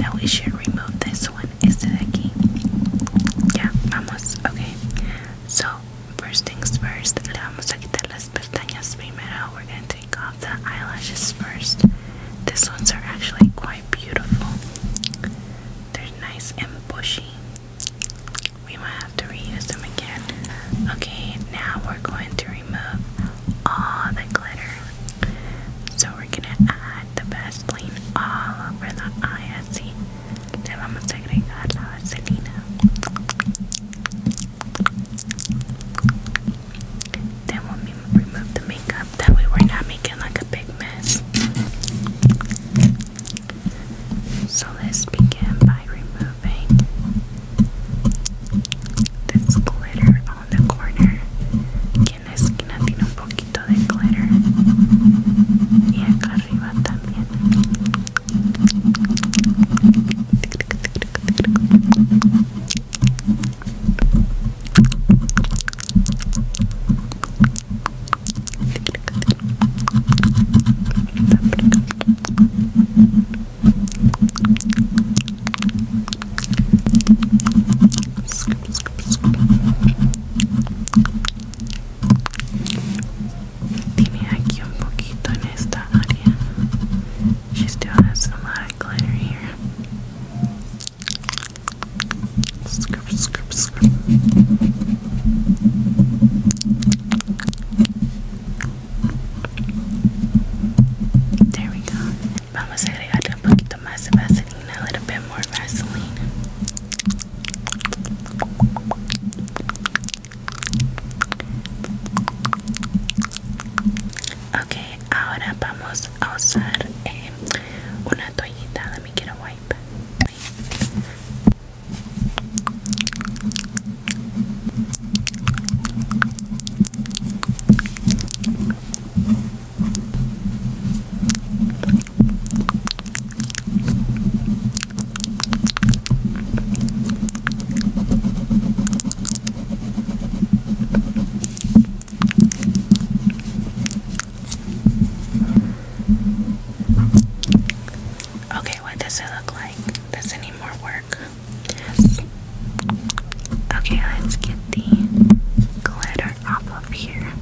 Now we should remove this one instead of key. Yeah, vamos, okay. So, first things first, le vamos a quitar las pestañas primero. We're gonna take off the eyelashes first. These ones are actually quite beautiful. They're nice and bushy. We might have to reuse them again. Okay, now we're going to remove all the glitter. So we're gonna add the Vaseline all over the eye así. Le vamos a agregar la vaselina. Then we'll remove the makeup. That we're not making like a big mess. So let's begin by removing moving this glitter on the corner. Aquí la esquina tiene un poquito de glitter. Y acá arriba también. Scoop, scoop, scoop. Tiene aquí un poquito en esta área. She still has a glitter here. Scoop, scoop, scoop. There we go. Vamos a agregarle un poquito más de Vaseline, a little bit more Vaseline. Ok, ahora vamos a usar eh, una toallita. Let me get a wipe. Okay, what does it look like? Does it more work? Yes. Okay, let's get the glitter off of here.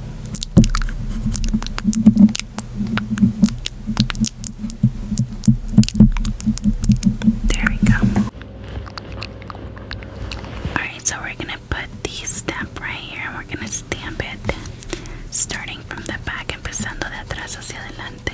There we go. Alright, so we're gonna put the stamp right here and we're gonna stamp it starting from the back, empezando de atrás hacia adelante.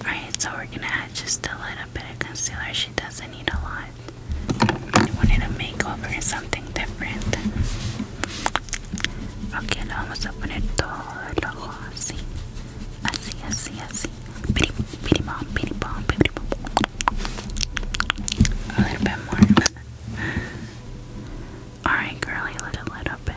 Alright, so we're gonna add just a little bit of concealer. She doesn't need a lot. wanted a makeover or something different. Ok, lo vamos a poner todo el ojo así. Así, así, así. Bitty, bitty bomb, bitty bomb, bitty A little bit more. Alright, girly, a little bit.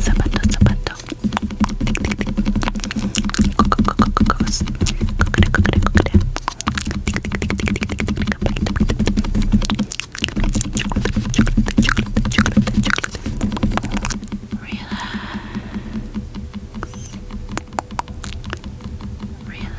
zapato, zapato. Cocos, cocoa, cocoa, cocoa. Relax. Relax.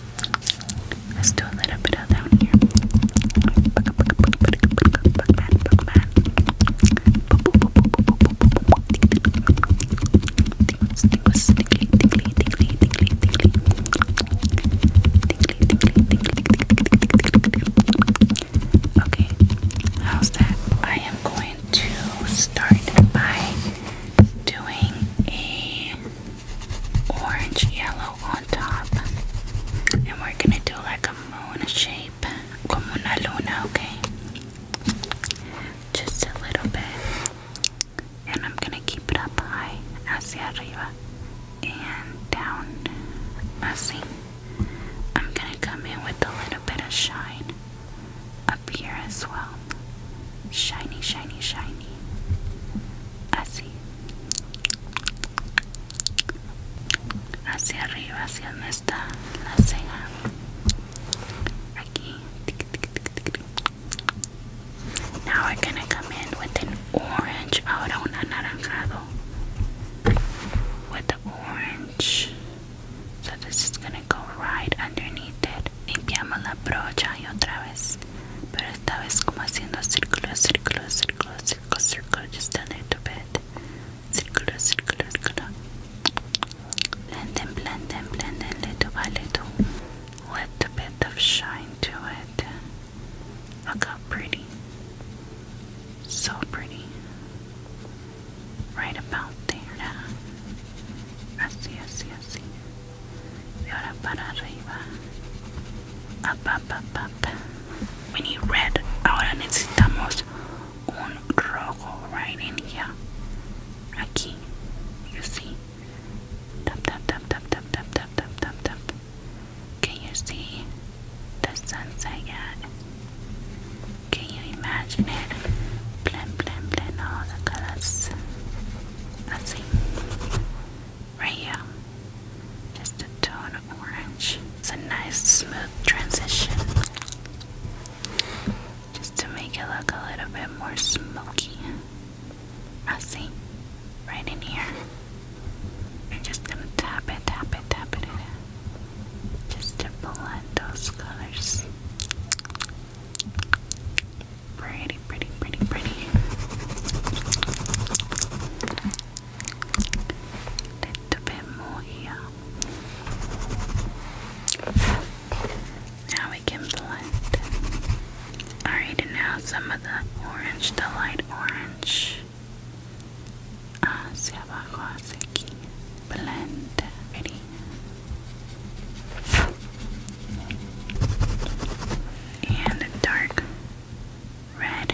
Let's do a little bit of down here. Okay, how's that? I am going to start by doing a orange yellow on top. And we're gonna do like a moon shape, como una luna, okay? Just a little bit. And I'm gonna keep it up high, hacia arriba, and down, así. I'm gonna come in with a little bit of shine up here as well. Shiny, shiny, shiny. Así. hacia arriba hacia donde está la ceja aquí now we're gonna come in with an orange ahora un anaranjado with the orange so this is gonna go right underneath it limpiamos la brocha y otra vez pero esta vez como haciendo círculos, círculos, círculos, círculos, círculos, just a little bit, círculos, círculos, círculos, blending, blending, blending, little by little, with a bit of shine to it. Look how pretty, so pretty, right about there. I see, I see, I see de ahora para arriba up, up, up, up. we need red ahora necesitamos un rojo right in here aquí you see tap tap tap tap tap tap tap tap tap can you see the sunset yet can you imagine it blend blend blend all the colors así right here. Just a tone of orange. It's a nice smooth transition. Just to make it look a little bit more smoky. I see. Right in here. I'm just gonna tap it, tap it, tap it in. Just to blend those colors. Pretty, pretty, pretty, pretty. Little bit more here. Now we can blend. Alright, and now some of the orange, the orange. Hacia abajo, hacia aquí. Blend. Ready? and dark red,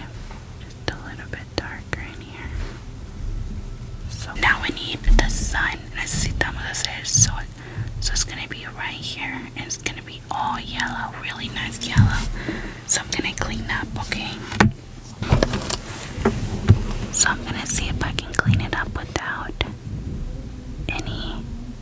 just a little bit darker in here. So now we need the sun. Necesitamos hacer el sol. So it's gonna be right here, and it's gonna be all yellow, really nice yellow. So I'm gonna clean up, okay? So I'm gonna see if I can clean it up without any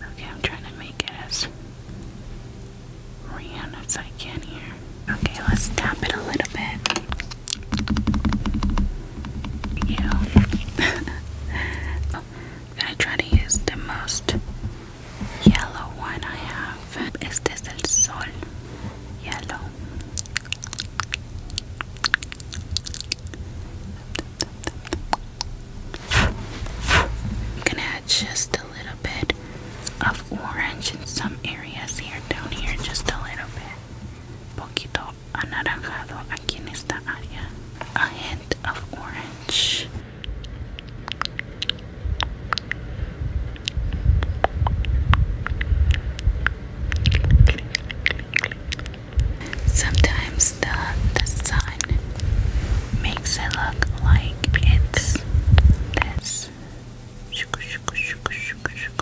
Okay, I'm trying to make it as round as I can here. Okay, let's tap it a little bit. You. gonna try to use the most yellow one I have. Is this El Sol? Yellow. I'm gonna add just a little bit of orange in some areas here, down here, just a little bit. Poquito anaranjado aquí en esta área. A hint of orange. Sometimes the the sun makes it look like it's this.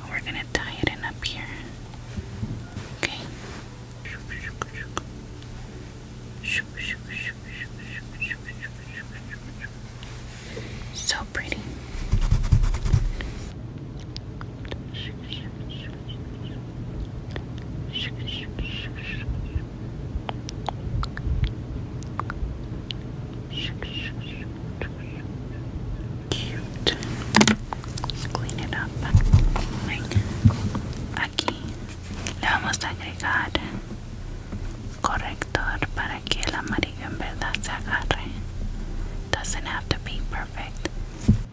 We're gonna tie it in up here. Okay. So pretty. Cute. clean it up. Aquí le vamos a agregar corrector para que el amarillo en verdad se agarre. Doesn't have to be perfect.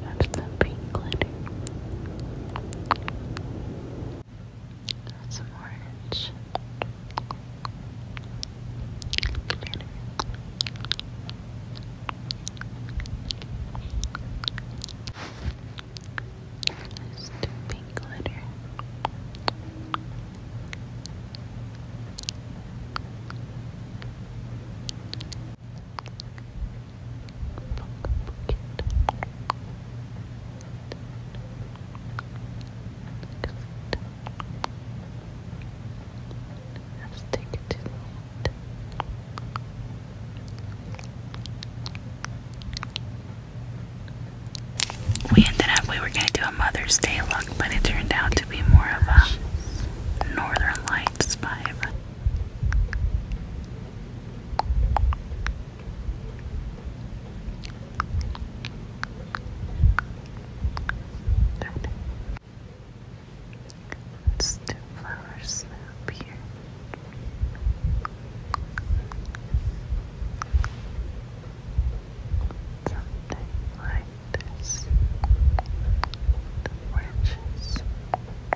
That's the pink glitter. Some orange glitter. the pink glitter. We ended up, we were going to do a Mother's Day look, but it turned out to be more of a Northern Lights vibe. Good. Let's do like this. The branches.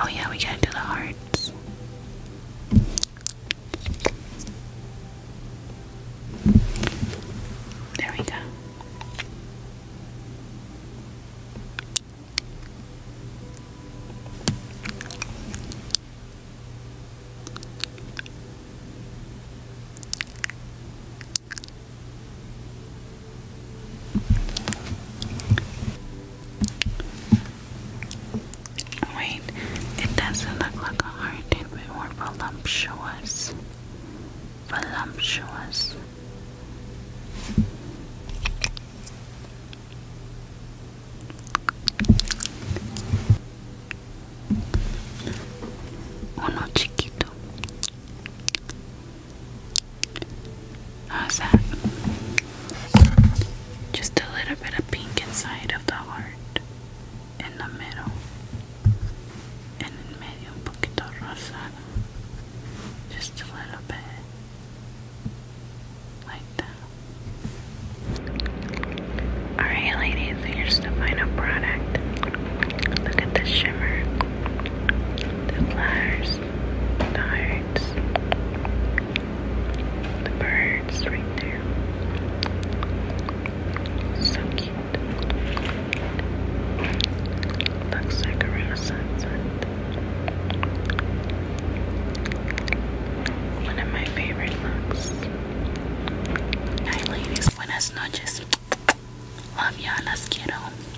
Oh, yeah, we gotta do the hearts. There we go. Wait, it doesn't look like a heart, it more voluptuous. Voluptuous. Uno chiquito. How's that? Just a little bit of pink inside of the heart. In the middle. En el medio un poquito rosado. Just a little bit. Like that. Alright ladies, here's the final product. Look at the shimmer. The flowers birds, the birds right there, so cute. Looks like a One of my favorite looks. Hi, ladies. Buenas noches. Love y'all. Las quiero.